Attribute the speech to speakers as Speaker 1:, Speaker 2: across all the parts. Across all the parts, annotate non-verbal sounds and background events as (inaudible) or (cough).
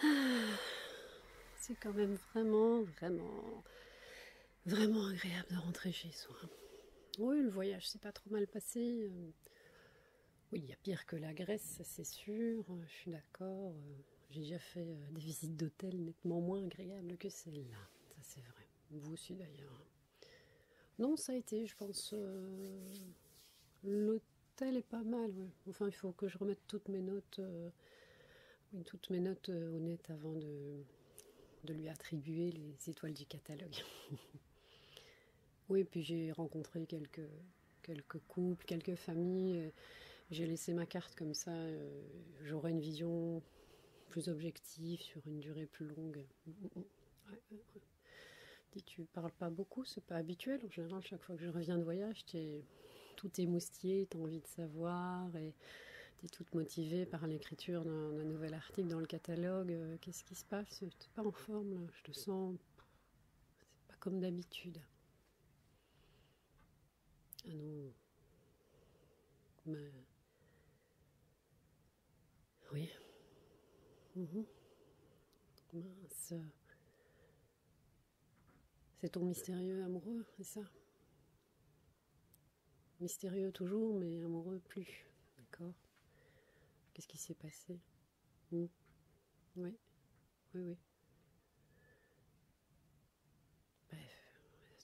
Speaker 1: Ah, c'est quand même vraiment, vraiment, vraiment agréable de rentrer chez soi. Oui, le voyage s'est pas trop mal passé. Euh, oui, il y a pire que la Grèce, c'est sûr. Euh, je suis d'accord. Euh, j'ai déjà fait des visites d'hôtels nettement moins agréables que celle-là. Ça, c'est vrai. Vous aussi, d'ailleurs. Hein. Non, ça a été, je pense. Euh, l'hôtel est pas mal, Enfin, il faut que je remette toutes mes notes, euh, toutes mes notes honnêtes euh, avant de, lui attribuer les étoiles du catalogue. (laughs) oui, puis j'ai rencontré quelques, couples, quelques familles. J'ai laissé ma carte comme ça, j'aurais une vision plus objective sur une durée plus longue. Mm, mm, mm. Euh, euh, euh. Tu ne tu parles pas beaucoup, c'est pas habituel. En général, chaque fois que je reviens de voyage, es, tout est moustillé, as envie de savoir et es toute motivée par l'écriture d'un nouvel article dans le catalogue. Qu'est-ce qui se passe T'es pas en forme, là. je te sens. C'est pas comme d'habitude. Ah non. Oui. Mhm. C'est ton mystérieux amoureux, c'est ça Mystérieux toujours, mais amoureux plus. D'accord Qu'est-ce qui s'est passé hmm. Oui, oui, oui. Bref,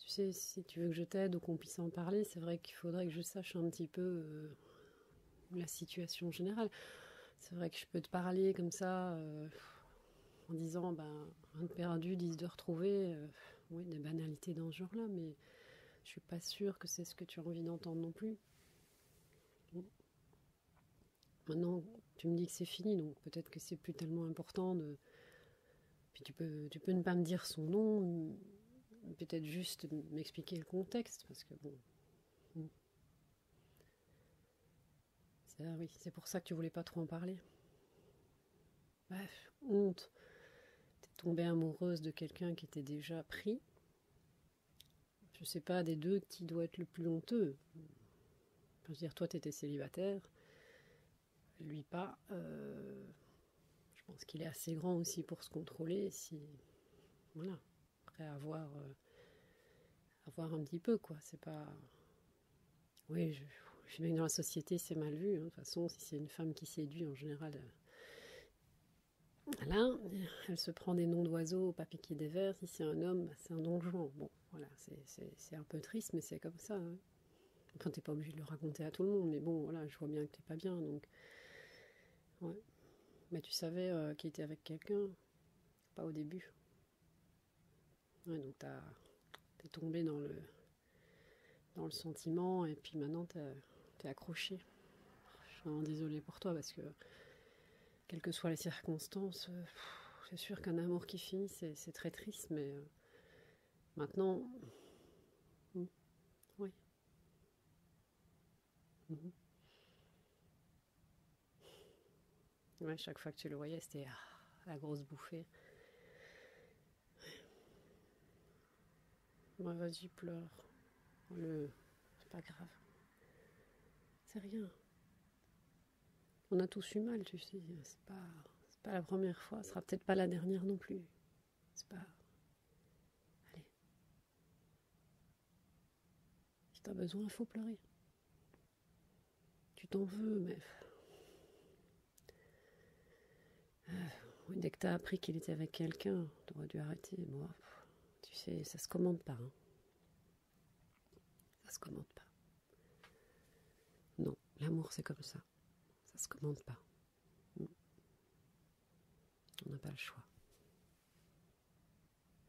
Speaker 1: tu sais, si tu veux que je t'aide ou qu'on puisse en parler, c'est vrai qu'il faudrait que je sache un petit peu euh, la situation générale. C'est vrai que je peux te parler comme ça euh, en disant ben, un de perdu, dix de retrouvé. Euh, oui, des banalités dans ce genre-là, mais je suis pas sûre que c'est ce que tu as envie d'entendre non plus. Maintenant, tu me dis que c'est fini, donc peut-être que c'est plus tellement important de. Puis tu peux, tu peux ne pas me dire son nom, peut-être juste m'expliquer le contexte, parce que bon. Hmm. c'est pour ça que tu voulais pas trop en parler. Bref, honte. T'es tombée amoureuse de quelqu'un qui était déjà pris. Je sais pas des deux qui doit être le plus honteux. Je veux dire, toi t'étais célibataire, lui pas. Euh, je pense qu'il est assez grand aussi pour se contrôler. Si voilà, après avoir euh, avoir un petit peu quoi. C'est pas. Oui, je, suis même dans la société c'est mal vu. Hein. De toute façon, si c'est une femme qui séduit, en général, euh, là, elle se prend des noms d'oiseaux, pas piquer des vers. Si c'est un homme, bah, c'est un don Bon, voilà, c'est un peu triste, mais c'est comme ça. Hein. tu t'es pas obligé de le raconter à tout le monde, mais bon, voilà, je vois bien que t'es pas bien, donc Ouais. Mais tu savais euh, qu'il était avec quelqu'un, pas au début. Ouais, donc t'es tombé dans le, dans le sentiment et puis maintenant t'es accroché. Je suis vraiment désolée pour toi parce que, quelles que soient les circonstances, euh, c'est sûr qu'un amour qui finit, c'est très triste, mais euh, maintenant, hmm, oui. Mhm. chaque fois que tu le voyais, c'était ah, la grosse bouffée. vas-y, pleure. C'est pas grave. C'est rien. On a tous eu mal, tu sais. pas, c'est pas la première fois. Ce sera peut-être pas la dernière non plus. C'est pas. Allez, si t'as besoin, il faut pleurer. Tu t'en veux, mais. Euh, dès que t'as appris qu'il était avec quelqu'un, t'aurais dû arrêter. tu sais, ça se commande pas. Hein. Ça se commande pas. Non, l'amour c'est comme ça. Ça se commande pas. On n'a pas le choix.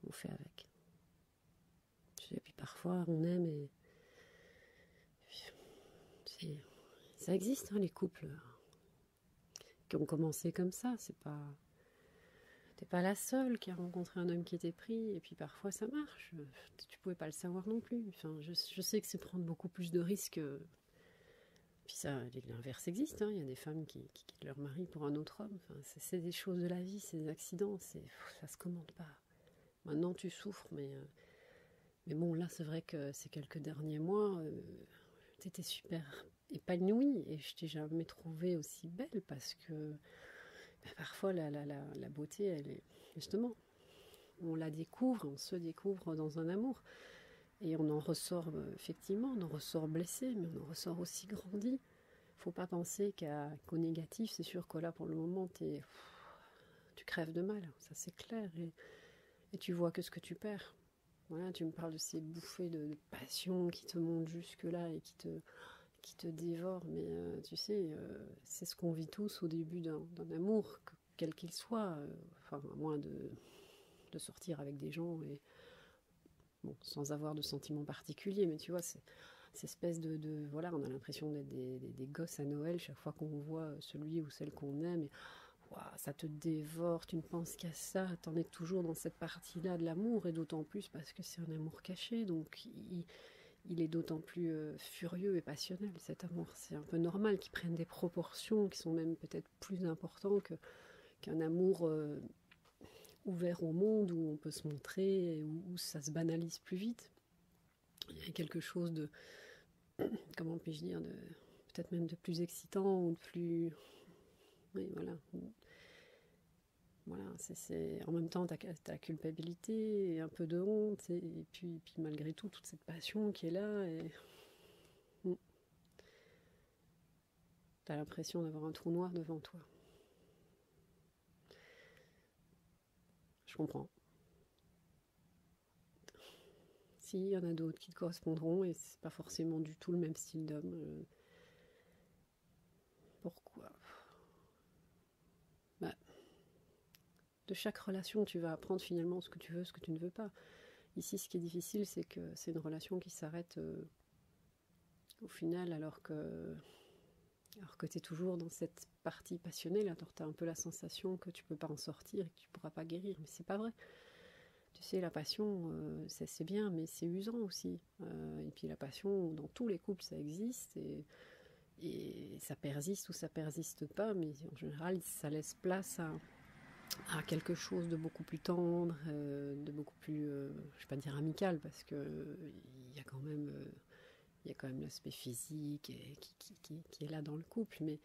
Speaker 1: On fait avec. Et puis parfois, on aime et. ça existe, hein, les couples qui ont commencé comme ça. C'est pas. T'es pas la seule qui a rencontré un homme qui était pris, et puis parfois ça marche. Tu pouvais pas le savoir non plus. je sais que c'est prendre beaucoup plus de risques puis ça, l'inverse existe, hein. il y a des femmes qui, quittent leur mari pour un autre homme. c'est des choses de la vie, c'est des accidents, ça se commande pas. Maintenant tu souffres, mais, euh, mais bon, là c'est vrai que ces quelques derniers mois, euh, tu étais super épanouie et je t'ai jamais trouvée aussi belle parce que bah, parfois la, la, la beauté, elle est justement, on la découvre, on se découvre dans un amour. Et on en ressort, euh, effectivement, on en ressort blessé, mais on en ressort aussi grandi. Faut pas penser qu'au négatif, c'est sûr que là, pour le moment, tu crèves de mal, ça c'est clair. Et, et tu vois que ce que tu perds. Voilà, tu me parles de ces bouffées de, passion qui te montent jusque-là et qui te, qui te dévorent. Mais euh, tu sais, euh, c'est ce qu'on vit tous au début d'un amour, quel qu'il soit. enfin, à moins de, de sortir avec des gens sans avoir de sentiments particuliers, mais tu vois, c'est espèce de, Voilà, on a l'impression d'être des, gosses à Noël chaque fois qu'on voit celui ou celle qu'on aime. ça te dévore, tu ne penses qu'à ça, en es toujours dans cette partie-là de l'amour, et d'autant plus parce que c'est un amour caché, donc il, est d'autant plus euh, furieux et passionnel cet amour. C'est un peu normal qu'il prenne des proportions qui sont même peut-être plus important que, qu'un amour euh, ouvert au monde où on peut se montrer où, ça se banalise plus vite. Il y a quelque chose de, (clears throat) comment puis-je dire, de peut-être même de plus excitant ou de plus. Oui, voilà. Voilà, c'est, en même temps, ta culpabilité, et un peu de honte, et, puis, et puis malgré tout, toute cette passion qui est là. Et... Hmm. T'as l'impression d'avoir un trou noir devant toi. Je comprends. Si, il y en a d'autres qui te correspondront et c'est pas forcément du tout le même style d'homme. Euh. Pourquoi bah, De chaque relation, tu vas apprendre finalement ce que tu veux, ce que tu ne veux pas. Ici, ce qui est difficile, c'est que c'est une relation qui s'arrête euh, au final, alors que, alors que tu es toujours dans cette partie passionnelle. Alors, tu as un peu la sensation que tu peux pas en sortir et que tu pourras pas guérir, mais c'est pas vrai. Tu sais, la passion, euh, c'est bien, mais c'est usant aussi. Euh, et puis, la passion, dans tous les couples, ça existe. Et, et ça persiste ou ça persiste pas, mais en général, ça laisse place à à quelque chose de beaucoup plus tendre, euh, de beaucoup plus, euh, je ne vais pas dire amical, parce que il y a quand même, euh, il y a quand même l'aspect physique qui, est là dans le couple, mais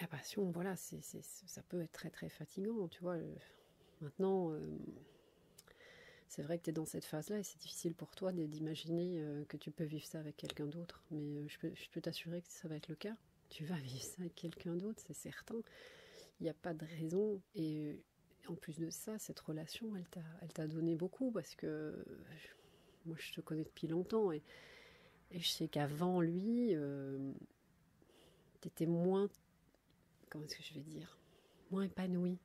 Speaker 1: la passion, voilà, ça peut être très très fatigant, tu vois. Maintenant, c'est vrai que tu es dans cette phase-là et c'est difficile pour toi d'imaginer que tu peux vivre ça avec quelqu'un d'autre, mais je peux t'assurer que ça va être le cas. Tu vas vivre ça avec quelqu'un d'autre, c'est certain. Il n'y a pas de raison. Et euh, en plus de ça, cette relation, elle t'a donné beaucoup parce que moi, je te connais depuis longtemps. Et, je sais qu'avant lui, euh, tu étais moins. Comment est-ce que je vais dire Moins épanouie.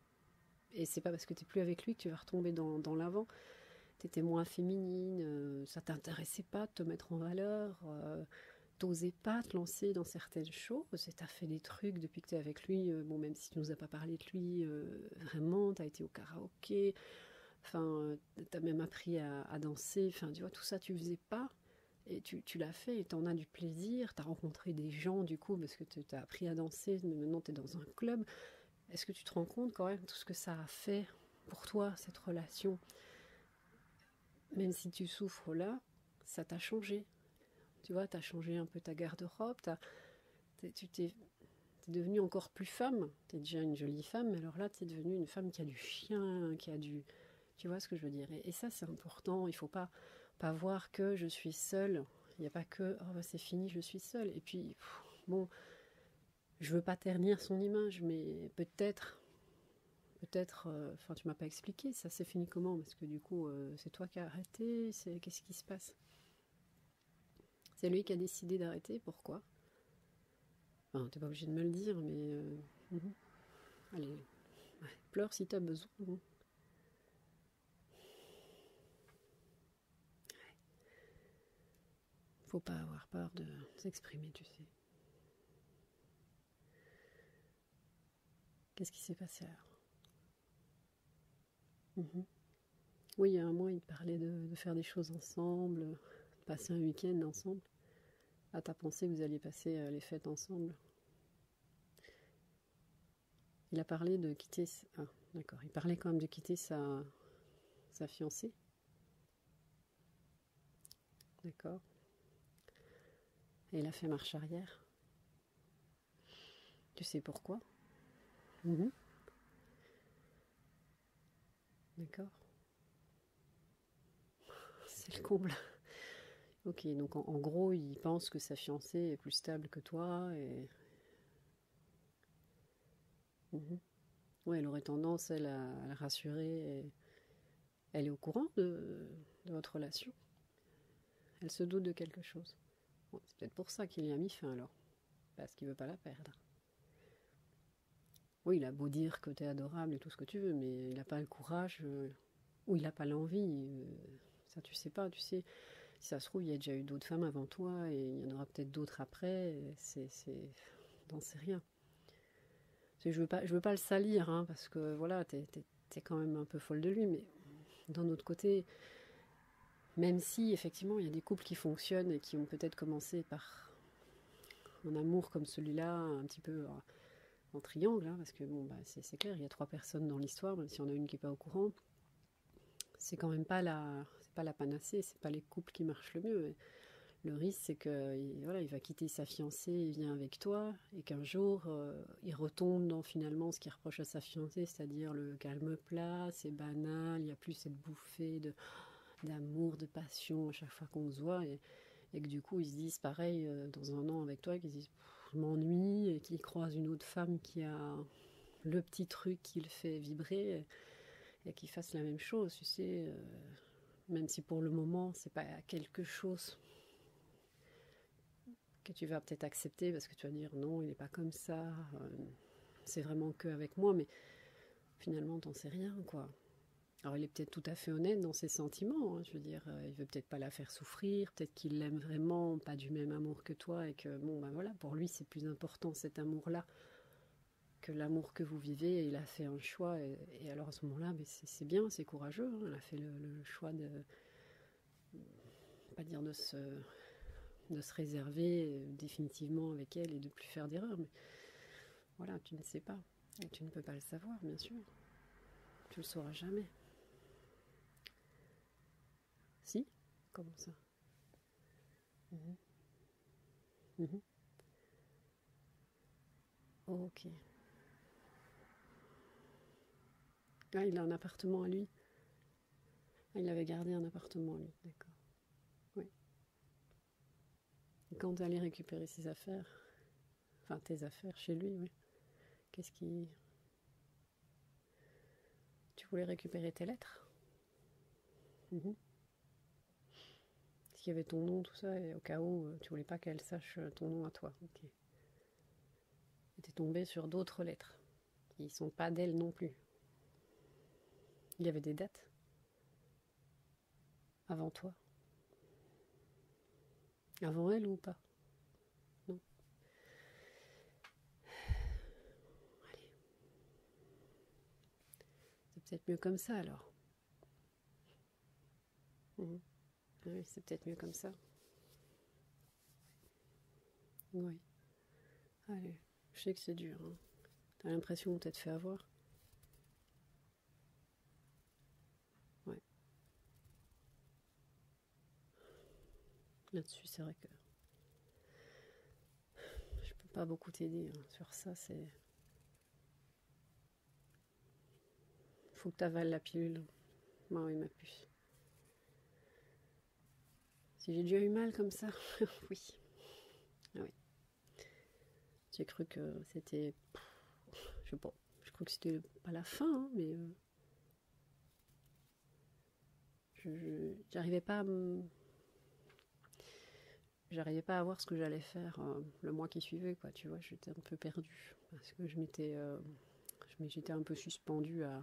Speaker 1: Et c'est pas parce que tu n'es plus avec lui que tu vas retomber dans, l'avant. Tu étais moins féminine, ça euh, ça t'intéressait pas de te mettre en valeur t'osais pas te lancer dans certaines choses et t'as fait des trucs depuis que t'es avec lui. Euh, bon, même si tu nous as pas parlé de lui, euh, vraiment, t'as été au karaoké, enfin, euh, t'as même appris à, danser, enfin, tu vois, tout ça, tu faisais pas. Et tu, l'as fait et t'en as du plaisir, t'as rencontré des gens du coup parce que t'as appris à danser, mais maintenant t'es dans un club. Est-ce que tu te rends compte quand même tout ce que ça a fait pour toi, cette relation même si tu souffres là, ça t'a changé. Tu vois, t'as changé un peu ta garde-robe, tu t'es devenue encore plus femme. T'es déjà une jolie femme, mais alors là, t'es devenue une femme qui a du chien, qui a du... Tu vois ce que je veux dire et, ça, c'est important. Il faut pas, pas voir que je suis seule. Il n'y a pas que, oh, bah, c'est fini, je suis seule. Et puis, bon, je veux pas ternir son image, mais peut-être peut-être, euh, enfin tu m'as pas expliqué, ça c'est fini comment Parce que du coup, euh, c'est toi qui as arrêté, c'est qu'est-ce qui se passe C'est lui qui a décidé d'arrêter, pourquoi Enfin, t'es pas obligé de me le dire, mais... Euh, mhm. Allez, pleure si tu as besoin. Hein. Faut pas avoir peur de s'exprimer, tu sais. Qu'est-ce qui s'est passé alors mhm. Oui, il y a un mois, il parlait de, faire des choses ensemble, de passer un week-end ensemble. À ta pensée, vous alliez passer euh, les fêtes ensemble. Il a parlé de quitter. Ah, d'accord. Il parlait quand même de quitter sa fiancée. D'accord Et il a fait marche arrière. Tu sais pourquoi mhm. D'accord C'est le comble. Ok, donc en, gros, il pense que sa fiancée est plus stable que toi et. Mhm. Ouais, elle aurait tendance, elle, à, la rassurer elle est au courant de, votre relation. Elle se doute de quelque chose. c'est peut-être pour ça qu'il y a mis fin alors. Parce qu'il veut pas la perdre. Oui, il a beau dire que tu es adorable et tout ce que tu veux, mais il n'a pas le courage euh, ou il n'a pas l'envie. Euh, ça, tu sais pas, tu sais. Si ça se trouve, il y a déjà eu d'autres femmes avant toi et il y en aura peut-être d'autres après. C'est. N'en sais rien. Je veux veux pas le salir, hein, parce que voilà, es, quand même un peu folle de lui, mais d'un autre côté, même si effectivement il y a des couples qui fonctionnent et qui ont peut-être commencé par un amour comme celui-là, un petit peu en triangle, hein, parce que bah, c'est clair, il y a trois personnes dans l'histoire, même si on a une qui n'est pas au courant, c'est quand même pas la, c'est pas la panacée, c'est pas les couples qui marchent le mieux. Le risque, c'est que voilà, il va quitter sa fiancée, il vient avec toi, et qu'un jour euh, il retombe dans finalement ce qu'il reproche à sa fiancée, c'est-à-dire le calme plat, c'est banal, il n'y a plus cette bouffée de d'amour, de passion à chaque fois qu'on se voit et, que du coup ils se disent pareil euh, dans un an avec toi, qu'ils disent je m'ennuie et qu'ils croisent une autre femme qui a le petit truc qui le fait vibrer et, qu'ils fassent la même chose, tu sais. Euh, même si pour le moment c'est pas quelque chose que tu vas peut-être accepter parce que tu vas dire non, il n'est pas comme ça, euh, c'est vraiment que avec moi, mais finalement t'en sais rien quoi. Alors il est peut-être tout à fait honnête dans ses sentiments, hein, je veux dire, euh, il veut peut-être pas la faire souffrir, peut-être qu'il l'aime vraiment, pas du même amour que toi, et que ben voilà, pour lui c'est plus important cet amour-là que l'amour que vous vivez, il a fait un choix, et, alors à ce moment-là, ben, c'est bien, c'est courageux, hein, fait le, choix de, pas dire de se, de se réserver euh, définitivement avec elle et de plus faire d'erreur, Mais voilà, tu ne sais pas. Et tu ne peux pas le savoir, bien sûr. Tu le sauras jamais. Si Comment ça mhm. Mhm. Ok. Ah, il a un appartement à lui. Ah, il avait gardé un appartement, à lui, d'accord. Oui. quand tu allais récupérer ses affaires, enfin tes affaires chez lui, oui. Qu'est-ce qui. Tu voulais récupérer tes lettres mm-hmm. Parce qu'il y avait ton nom, tout ça, et au cas où, euh, tu voulais pas qu'elle sache euh, ton nom à toi. Ok était tombé sur d'autres lettres, qui ne sont pas d'elle non plus. Il y avait des dates avant toi. Avant elle ou pas Non. Allez. C'est peut-être mieux comme ça alors. Mmh. Oui, c'est peut-être mieux comme ça. Oui. Allez, je sais que c'est dur. Hein. T'as l'impression que t'être fait avoir. Ouais. Là-dessus, c'est vrai que je peux pas beaucoup t'aider. Hein. Sur ça, c'est faut que tu la pilule. Moi, bah oui, ma puce. Si j'ai déjà eu mal comme ça, (laughs) oui. Ah oui. J'ai cru que c'était. Je Je crois que c'était pas la fin, hein, mais. Euh, j'arrivais pas à J'arrivais pas à voir ce que j'allais faire euh, le mois qui suivait, quoi. Tu vois, j'étais un peu perdue parce que euh, je m'étais j'étais un peu suspendue à,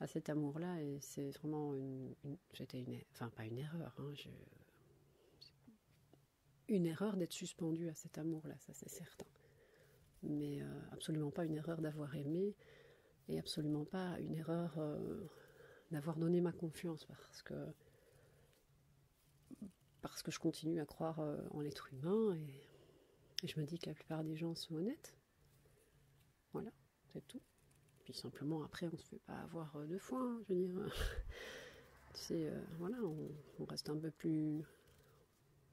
Speaker 1: à cet amour-là et c'est vraiment une, une enfin pas une erreur hein, une erreur d'être suspendue à cet amour-là, ça c'est certain. Mais euh, absolument pas une erreur d'avoir aimé et absolument pas une erreur euh, d'avoir donné ma confiance parce que parce que je continue à croire euh, en l'être humain et, je me dis que la plupart des gens sont honnêtes. Voilà, c'est tout. Puis simplement après, on ne se fait pas avoir euh, deux fois. Hein, je veux dire, c'est (laughs) euh, voilà, on, reste un peu plus,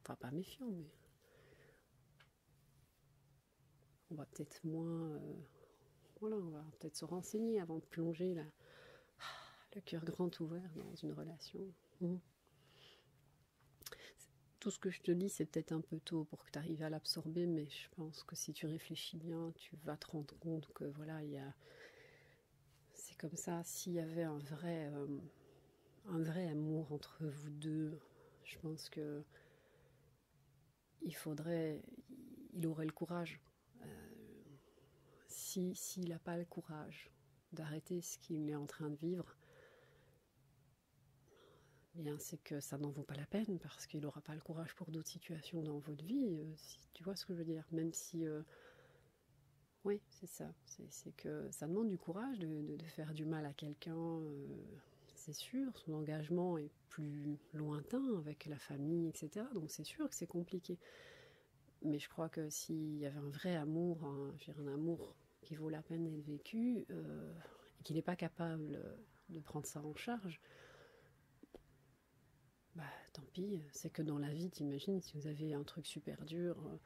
Speaker 1: enfin pas méfiant, mais on va peut-être moins, voilà, on va peut-être se renseigner avant de plonger là, (sighs) le cœur grand ouvert dans une relation. Mm. Tout ce que je te dis, c'est peut-être un peu tôt pour que tu arrives à l'absorber, mais je pense que si tu réfléchis bien, tu vas te rendre compte que voilà, C'est comme ça, s'il y avait euh, un vrai, amour entre vous deux, je pense que il faudrait, il aurait le courage. Euh, si s'il n'a pas le courage d'arrêter ce qu'il est en train de vivre, eh bien c'est que ça n'en vaut pas la peine parce qu'il n'aura pas le courage pour d'autres situations dans votre vie, euh, tu vois ce que je veux dire, même si euh, oui, c'est ça. C'est que ça demande du courage de, faire du mal à quelqu'un, euh, c'est sûr. Son engagement est plus lointain avec la famille, etc. Donc c'est sûr que c'est compliqué. Mais je crois que s'il y avait un vrai amour, un amour qui vaut la peine d'être vécu, et euh, qu'il n'est pas capable de prendre ça en charge, bah tant pis. C'est que dans la vie, t'imagines, si vous avez un truc super dur euh,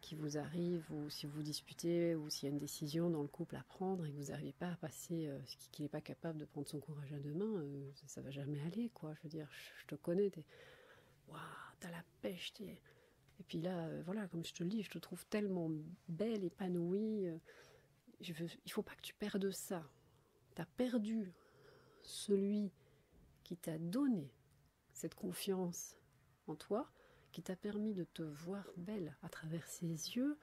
Speaker 1: qui vous arrive, ou si vous disputez, ou s'il y a une décision dans le couple à prendre et que vous n'arrivez pas à passer, euh, qu'il n'est pas capable de prendre son courage à deux ça, ne va jamais aller, quoi. Je veux dire, je, te connais, t'es. Waouh, t'as la pêche, et puis là, euh, voilà, comme je te le dis, je te trouve tellement belle, épanouie. il euh, je il faut pas que tu perdes ça. Tu as perdu celui qui t'a donné cette confiance en toi, qui t'a permis de te voir belle à travers ses yeux,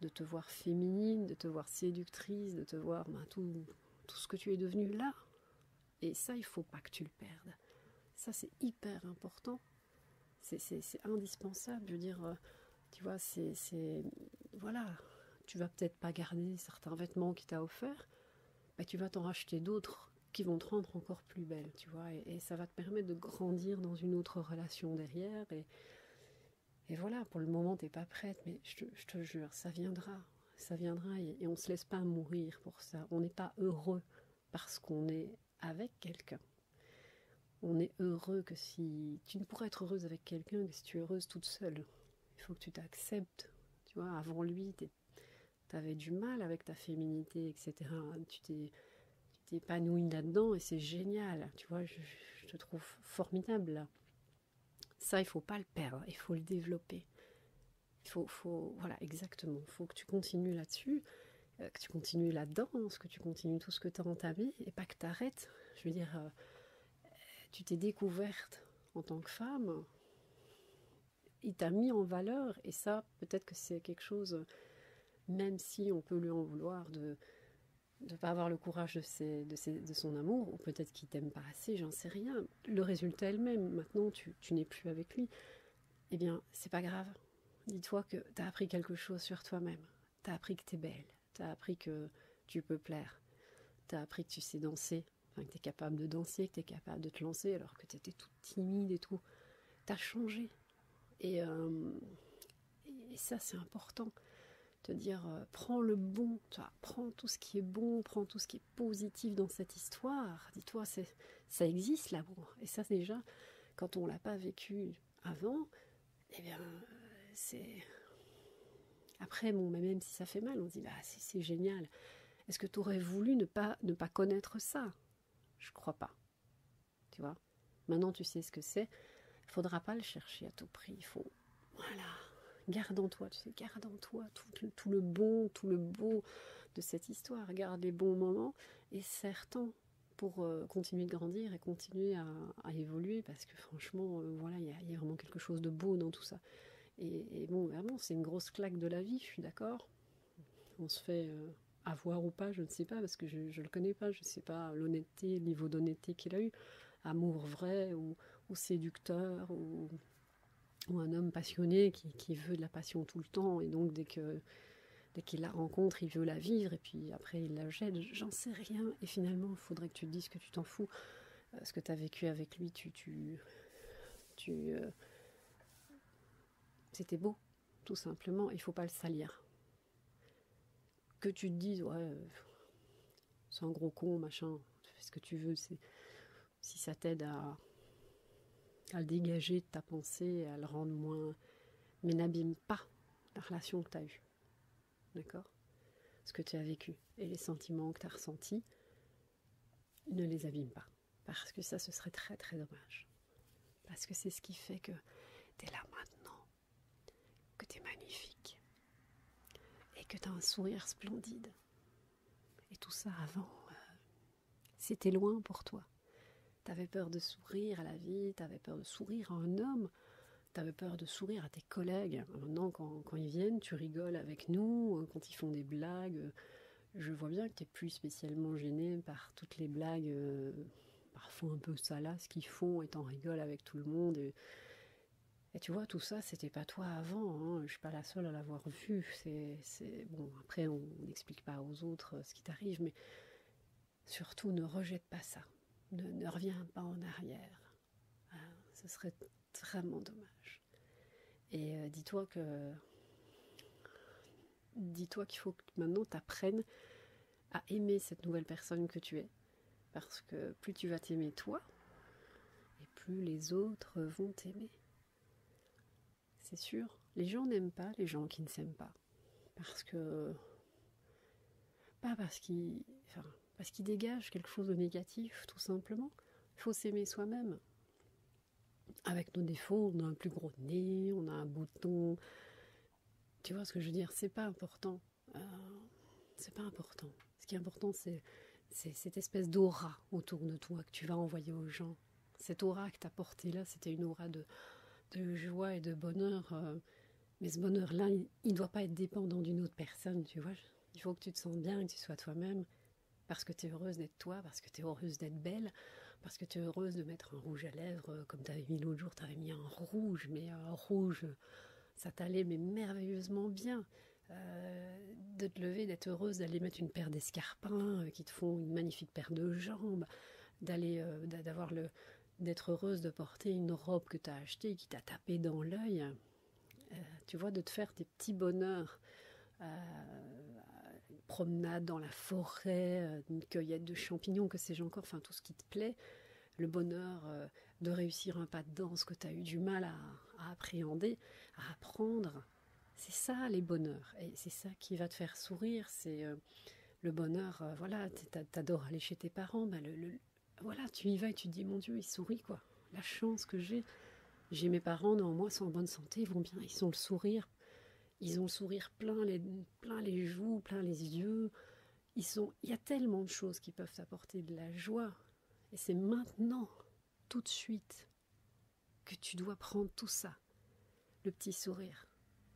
Speaker 1: de te voir féminine, de te voir séductrice, de te voir ben, tout, tout ce que tu es devenu là, et ça, il faut pas que tu le perdes. Ça, c'est hyper important. C'est indispensable. Je veux dire, euh, tu vois, c'est. Voilà. Tu vas peut-être pas garder certains vêtements qui t'a offert, mais tu vas t'en racheter d'autres qui vont te rendre encore plus belle, tu vois. Et, ça va te permettre de grandir dans une autre relation derrière. Et, et voilà, pour le moment, t'es pas prête, mais je te jure, ça viendra ça viendra et, on ne se laisse pas mourir pour ça. On n'est pas heureux parce qu'on est avec quelqu'un. On est heureux que si tu ne pourrais être heureuse avec quelqu'un que si tu es heureuse toute seule. Il faut que tu t'acceptes. Tu vois, avant lui, tu avais du mal avec ta féminité, etc. Tu t'es t'épanouis là-dedans et c'est génial. Tu vois, je, te trouve formidable Ça, il faut pas le perdre, il faut le développer. Il faut, voilà, exactement. faut que tu continues là-dessus, euh, que tu continues là-dedans, hein, que tu continues tout ce que tu as ta vie, et pas que tu arrêtes. Je veux dire, euh, tu t'es découverte en tant que femme, il t'a mis en valeur et ça, peut-être que c'est quelque chose, même si on peut lui en vouloir de ne pas avoir le courage de, de, son amour, ou peut-être qu'il t'aime pas assez, j'en sais rien. Le résultat est le même. Maintenant, tu n'es plus avec lui eh bien, c'est pas grave. Dis-toi que t'as appris quelque chose sur toi-même. T'as appris que es belle. T'as appris que tu peux plaire. T'as appris que tu sais danser. Enfin, que t'es capable de danser, que t'es capable de te lancer alors que tu étais toute timide et tout. T'as changé. Et, euh, ça, c'est important. Te dire, euh, prends le bon, tu prends tout ce qui est bon, prends tout ce qui positif dans cette histoire Dis-toi, c'est ça existe l'amour. Et ça, déjà, quand on l'a pas vécu avant, eh bien, c'est. Après, bon, même si ça fait mal, on dit, bah, si c'est génial. Est-ce que tu aurais voulu ne pas, ne pas connaître ça Je crois pas. Tu vois Maintenant, tu sais ce que c'est. Il faudra pas le chercher à tout prix. Il faut. Voilà. Garde en toi, tu sais, garde en toi tout, le bon, tout le beau de cette histoire. Garde les bons moments et certains pour euh, continuer de grandir et continuer à, évoluer parce que franchement, euh, voilà, il y, a vraiment quelque chose de beau dans tout ça. Et, bon, vraiment, c'est une grosse claque de la vie, je suis d'accord. On se fait euh, avoir ou pas, je ne sais pas, parce que je ne le connais pas, je ne sais pas l'honnêteté, le niveau d'honnêteté qu'il a eu, amour vrai ou, ou séducteur ou ou un homme passionné qui, veut de la passion tout le temps et donc dès que dès qu'il la rencontre il veut la vivre et puis après il la jette j'en sais rien et finalement il faudrait que tu te dises que tu t'en fous euh, ce que tu as vécu avec lui tu tu tu euh, c'était beau tout simplement il faut pas le salir que tu te dises ouais euh, c'est un gros con machin fais ce que tu veux c'est si ça t'aide à, à, le dégager de ta pensée, à le rendre moins. Mais n'abîme pas la relation que tu as eue. D'accord Ce que tu as vécu et les sentiments que tu as ressentis, ne les abîme pas. Parce que ça, ce serait très très dommage. Parce que c'est ce qui fait que tu es là maintenant, que tu es magnifique et que tu as un sourire splendide. Et tout ça avant, euh, c'était loin pour toi. T'avais peur de sourire à la vie, t'avais peur de sourire à un homme, t'avais peur de sourire à tes collègues. Maintenant, quand, quand, ils viennent, tu rigoles avec nous, quand ils font des blagues. Je vois bien que t'es plus spécialement gêné par toutes les blagues, euh, parfois un peu salaces qu'ils font et t'en rigoles avec tout le monde. Et, tu vois, tout ça, c'était pas toi avant. Hein. Je suis pas la seule à l'avoir vu. C'est, bon, après, on explique pas aux autres euh, ce qui t'arrive, mais surtout ne rejette pas ça, ne, reviens pas en arrière. Ah, ce serait vraiment dommage. Et euh, dis-toi que. Dis-toi qu'il faut que maintenant tu apprennes à aimer cette nouvelle personne que tu es. Parce que plus tu vas t'aimer toi, et plus les autres vont t'aimer c'est sûr. Les gens n'aiment pas les gens qui ne s'aiment pas. Parce que. Pas parce qu'ils. parce qu'ils dégagent quelque chose de négatif, tout simplement. Il faut s'aimer soi-même. Avec nos défauts, on a un plus gros nez, on a un bouton. Tu vois ce que je veux dire C'est pas important. Euh, c'est pas important. Ce qui est important, c'est cette espèce d'aura autour de toi que tu vas envoyer aux gens. Cette aura que tu as portée là, c'était une aura de, joie et de bonheur. Euh, mais ce bonheur-là, il ne doit pas être dépendant d'une autre personne, tu vois. Il faut que tu te sentes bien que tu sois toi-même. Parce que tu es heureuse d'être toi, parce que tu es heureuse d'être belle, parce que tu es heureuse de mettre un rouge à lèvres, euh, comme tu avais mis l'autre jour, tu avais mis un rouge, mais un rouge, ça t'allait mais merveilleusement bien. Euh, de te lever, d'être heureuse d'aller mettre une paire d'escarpins font une magnifique paire de jambes, d'aller, euh, d'avoir le, d'être heureuse de porter une robe que tu as achetée qui t'a tapé dans l'œil, euh, tu vois, de te faire des petits bonheurs. Euh, une promenade dans la forêt, une cueillette de champignons, que sais-je encore, enfin tout ce qui te plaît, le bonheur de réussir un pas de danse que tu as eu du mal à appréhender, à apprendre, c'est ça les bonheurs. Et c'est ça qui va te faire sourire. C'est euh, le bonheur. Euh, voilà, tu adores aller chez tes parents. Bah, voilà, tu y vas et tu te dis Mon Dieu, il sourit quoi. La chance que j'ai. J'ai mes parents, néanmoins, sont en bonne santé, ils vont bien, ils ont le sourire. Ils ont le sourire plein les, plein les joues, plein les yeux. Ils sont, il y a tellement de choses qui peuvent apporter de la joie. Et c'est maintenant, tout de suite que tu dois prendre tout ça. Le petit sourire,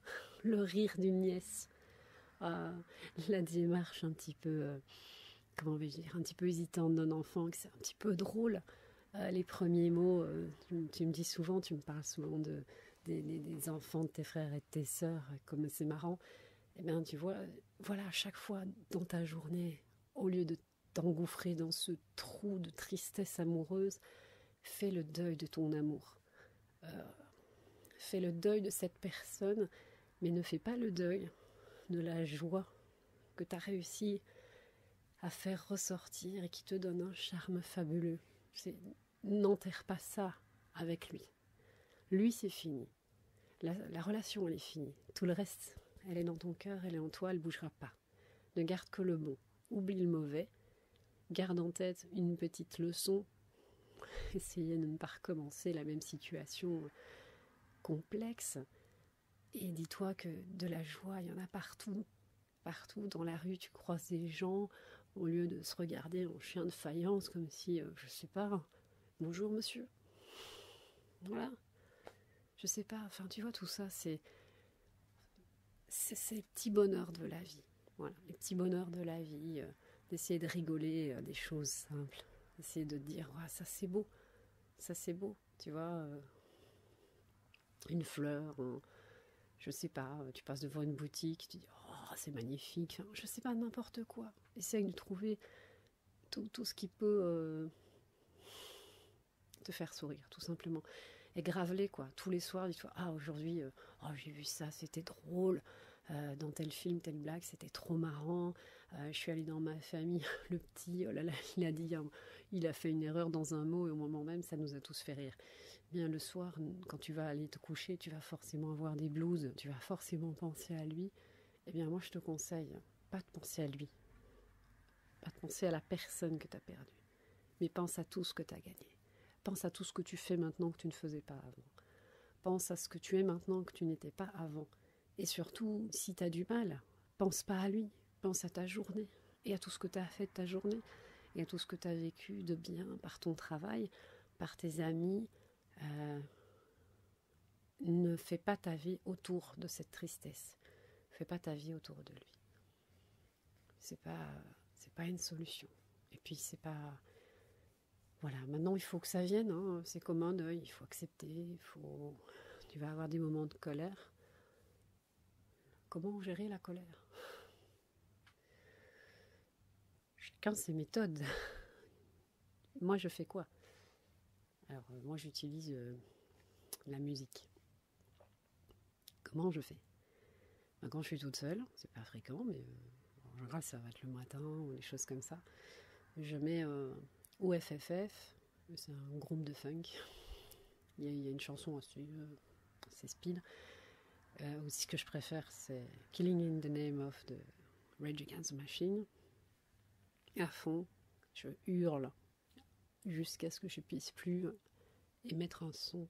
Speaker 1: (laughs) le rire d'une nièce, ah, la démarche un petit peu, euh, comment vais-je dire, un petit peu hésitante d'un enfant, que c'est un petit peu drôle. Euh, les premiers mots, euh, tu, me dis souvent, tu me parles souvent de, des, enfants de tes frères et de tes soeurs, comme c'est marrant. et eh bien, tu vois, voilà, à chaque fois dans ta journée, au lieu de t'engouffrer dans ce trou de tristesse amoureuse, fais le deuil de ton amour. Euh, fais le deuil de cette personne, mais ne fais pas le deuil de la joie que tu as réussi à faire ressortir et qui te donne un charme fabuleux. N'enterre pas ça avec lui. Lui, c'est fini. La, la relation, elle est finie. Tout le reste, elle est dans ton cœur, elle est en toi, elle ne bougera pas. Ne garde que le bon, oublie le mauvais, garde en tête une petite leçon, (laughs) essayez de ne pas recommencer la même situation complexe, et dis-toi que de la joie, il y en a partout. Partout dans la rue, tu croises des gens, au lieu de se regarder en chien de faïence, comme si, je euh, je sais pas, bonjour monsieur. Voilà. Je sais pas, enfin tu vois, tout ça, C'est petits bonheurs de la vie. Voilà, les petits bonheurs de la vie, euh, d'essayer de rigoler euh, des choses simples, d'essayer de dire ça c'est beau, ça c'est beau, tu vois, euh, une fleur, je sais pas, tu passes devant une boutique, tu dis oh c'est magnifique, je sais pas, n'importe quoi. Essaye de trouver tout ce qui peut te faire sourire, tout simplement. Et graveler quoi. Tous les soirs, dis-toi, ah, aujourd'hui, euh, oh, j'ai vu ça, c'était drôle. Euh, dans tel film, telle blague, c'était trop marrant. Euh, je suis allée dans ma famille, (laughs) le petit, oh là là, il a dit, il a fait une erreur dans un mot et au moment même, ça nous a tous fait rire. Bien, le soir, quand tu vas aller te coucher, tu vas forcément avoir des blues, tu vas forcément penser à lui. Eh bien, moi, je te conseille, pas de penser à lui, pas de penser à la personne que tu as perdue mais pense à tout ce que tu as gagné. Pense à tout ce que tu fais maintenant que tu ne faisais pas avant. Pense à ce que tu es maintenant que tu n'étais pas avant. Et surtout, si tu as du mal, pense pas à lui, pense à ta journée et à tout ce que tu as fait de ta journée et à tout ce que tu as vécu de bien par ton travail, par tes amis. Euh, ne fais pas ta vie autour de cette tristesse. Fais pas ta vie autour de lui c'est pas pas une solution et puis c'est pas voilà maintenant il faut que ça vienne hein. c'est ces commandes il faut accepter il faut tu vas avoir des moments de colère comment gérer la colère chacun ses méthodes moi je fais quoi alors moi j'utilise euh, la musique Comment je fais ben, Quand je suis toute seule, c'est pas fréquent, mais euh, en général ça va être le matin ou des choses comme ça. Je mets OFFF, euh, c'est un groupe de funk. Il y a, une chanson c'est euh, c'est speed. aussi, ce que je préfère, c'est Killing in the Name of the Rage Against the Machine. À fond, je hurle jusqu'à ce que je puisse plus et mettre un son.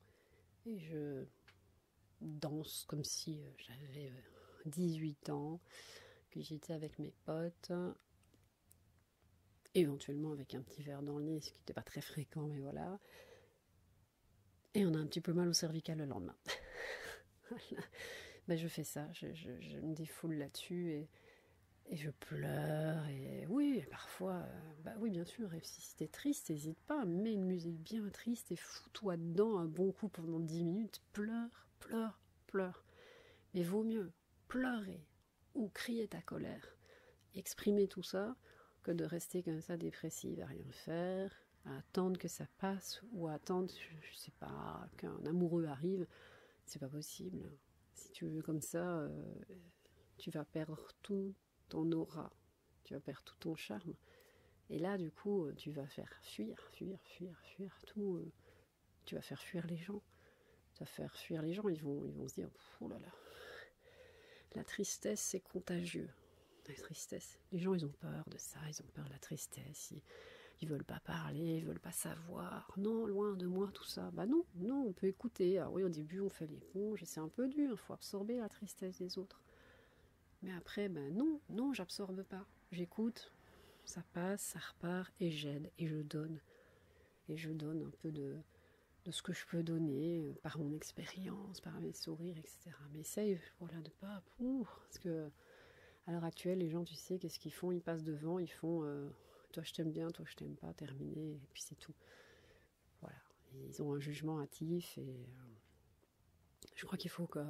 Speaker 1: Et je danse comme si euh, j'avais 18 euh, ans, que j'étais avec mes potes, éventuellement avec un petit verre dans le nez, ce qui n'était pas très fréquent, mais voilà. Et on a un petit peu mal au cervical le lendemain. (laughs) Ben, je fais ça, je, me défoule là-dessus et, je pleure. Et oui, parfois, euh, bah oui, bien sûr, et si t'es triste, n'hésite pas, mets une musique bien triste et fous-toi dedans un bon coup pendant 10 minutes, pleure, pleure, pleure. Mais vaut mieux pleurer ou crier ta colère, exprimer tout ça, que de rester comme ça dépressive à rien faire, à attendre que ça passe ou à attendre, je sais pas, qu'un amoureux arrive. C'est pas possible. Si tu veux comme ça, euh, tu vas perdre tout, ton aura, tu vas perdre tout ton charme. Et là, du coup, euh, tu vas faire fuir, fuir, fuir, fuir tout. Euh, tu vas faire fuir les gens. Tu vas faire fuir les gens. Ils vont, ils vont se dire, oh là là, la tristesse, c'est contagieux. La tristesse. Les gens, ils ont peur de ça. Ils ont peur de la tristesse. Ils, ils veulent pas parler. Ils veulent pas savoir. Non, loin de moi, tout ça. Bah non, non, on peut écouter. Alors ah oui, au début, on fait l'éponge et c'est un peu dur il faut absorber la tristesse des autres. Mais après, ben non, non, j'absorbe pas. J'écoute, ça passe, ça repart, et j'aide, et je donne. Et je donne un peu de, ce que je peux donner euh, par mon expérience, par mes sourires, etc. Mais essaye, voilà, de pas. pour parce que à l'heure actuelle, les gens, tu sais, qu'est-ce qu'ils font Ils passent devant, ils font euh, toi je t'aime bien, toi je t'aime pas, terminé, et puis c'est tout. Voilà, ils ont un jugement hâtif et euh, je crois qu'il faut que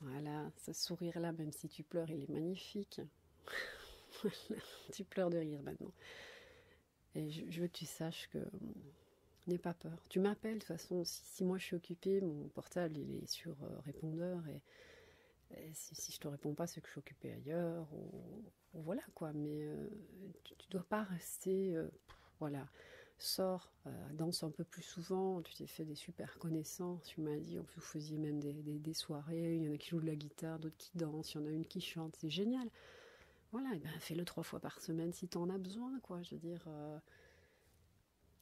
Speaker 1: voilà, ce sourire-là, même si tu pleures, il est magnifique. (laughs) tu pleures de rire maintenant. Et je, veux que tu saches que euh, n'aie pas peur. Tu m'appelles de toute façon. Si, moi je suis occupée, mon portable il est sur euh, répondeur et, si, je je te réponds pas, c'est que je suis occupée ailleurs voilà quoi, mais euh, tu, ne dois pas rester, euh, voilà, sors, euh, danse un peu plus souvent, tu t'es fait des super connaissances, tu m'as dit, vous faisiez même des, soirées, il y en a qui jouent de la guitare, d'autres qui dansent, il y en a une qui chante, c'est génial. Voilà, eh ben fais-le trois fois par semaine si tu en as besoin, quoi, je veux dire,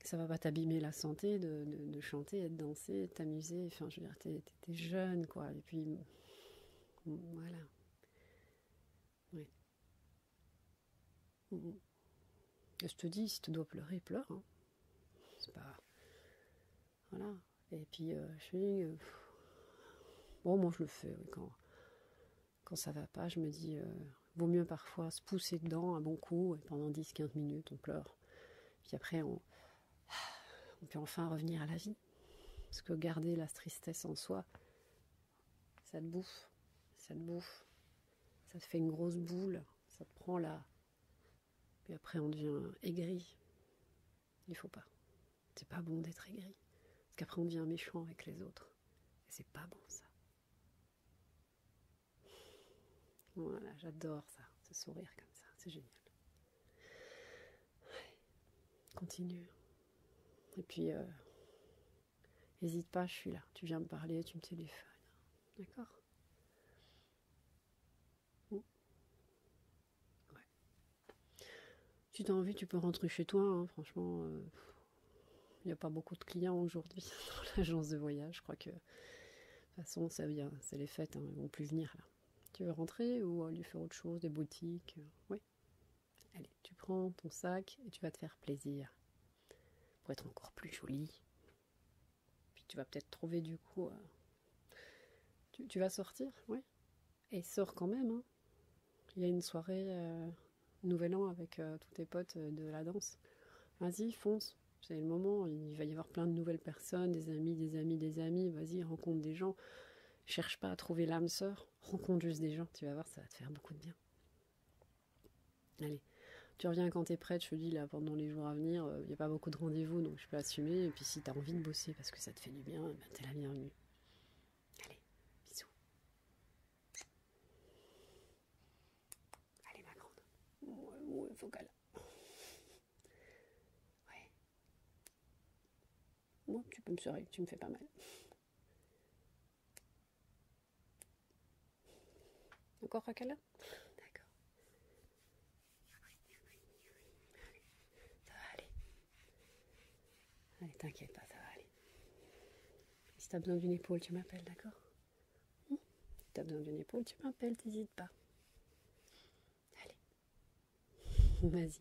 Speaker 1: ça va pas t'abîmer la santé de, chanter, de danser, de t'amuser, enfin je veux dire, es jeune, quoi, et puis, voilà, Mm, mm. Je te dis, si tu dois pleurer, pleure. Hein. Voilà. Et puis, euh, je suis. Euh, bon, moi, je le fais. quand, quand ça va pas, je me dis, il euh, vaut mieux parfois se pousser dedans un bon coup et pendant 10-15 minutes, on pleure. Puis après, on, on peut enfin revenir à la vie. Parce que garder la tristesse en soi, ça te bouffe, ça te bouffe, ça te fait une grosse boule, ça te prend la. Puis après, on devient aigri. Il faut pas. C'est pas bon d'être aigri. Parce qu'après, on devient méchant avec les autres. Et c'est pas bon, ça. Voilà, j'adore ça, ce sourire comme ça, c'est génial. Continue, et puis, n'hésite euh, pas, je suis là. Tu viens me parler, tu me téléphones. D'accord tu as envie, tu peux rentrer chez toi. Hein. franchement, il euh, n'y a pas beaucoup de clients aujourd'hui (laughs) dans l'agence de voyage. Je crois que, de toute façon, ça vient. C'est les fêtes, hein, ils ne vont plus venir là. Tu veux rentrer ou aller faire autre chose, des boutiques euh, Oui. Allez, tu prends ton sac et tu vas te faire plaisir. Pour être encore plus jolie. Puis tu vas peut-être trouver du coup. Euh, tu, vas sortir, oui. Et sors quand même. Hein. Il y a une soirée euh, Nouvel An avec euh, tous tes potes de la danse. Vas-y, fonce. C'est le moment. Il va y avoir plein de nouvelles personnes, des amis, des amis, des amis. Vas-y, rencontre des gens. Cherche pas à trouver l'âme sœur rencontre juste des gens, tu vas voir, ça va te faire beaucoup de bien. Allez, tu reviens quand t'es prête, je te dis là pendant les jours à venir, il euh, n'y a pas beaucoup de rendez-vous, donc je peux assumer. Et puis si t'as envie de bosser parce que ça te fait du bien, ben, t'es la bienvenue. Allez, bisous. Allez ma grande. Ouais, ouais, Ouais. Moi, tu peux me serrer, tu me fais pas mal. Encore Rakala D'accord. Allez, ça va aller. Allez, t'inquiète pas, ça va aller. Si as besoin d'une épaule, tu m'appelles, d'accord hmm Si t'as besoin d'une épaule, tu m'appelles, t'hésites pas. Allez, (laughs) vas-y.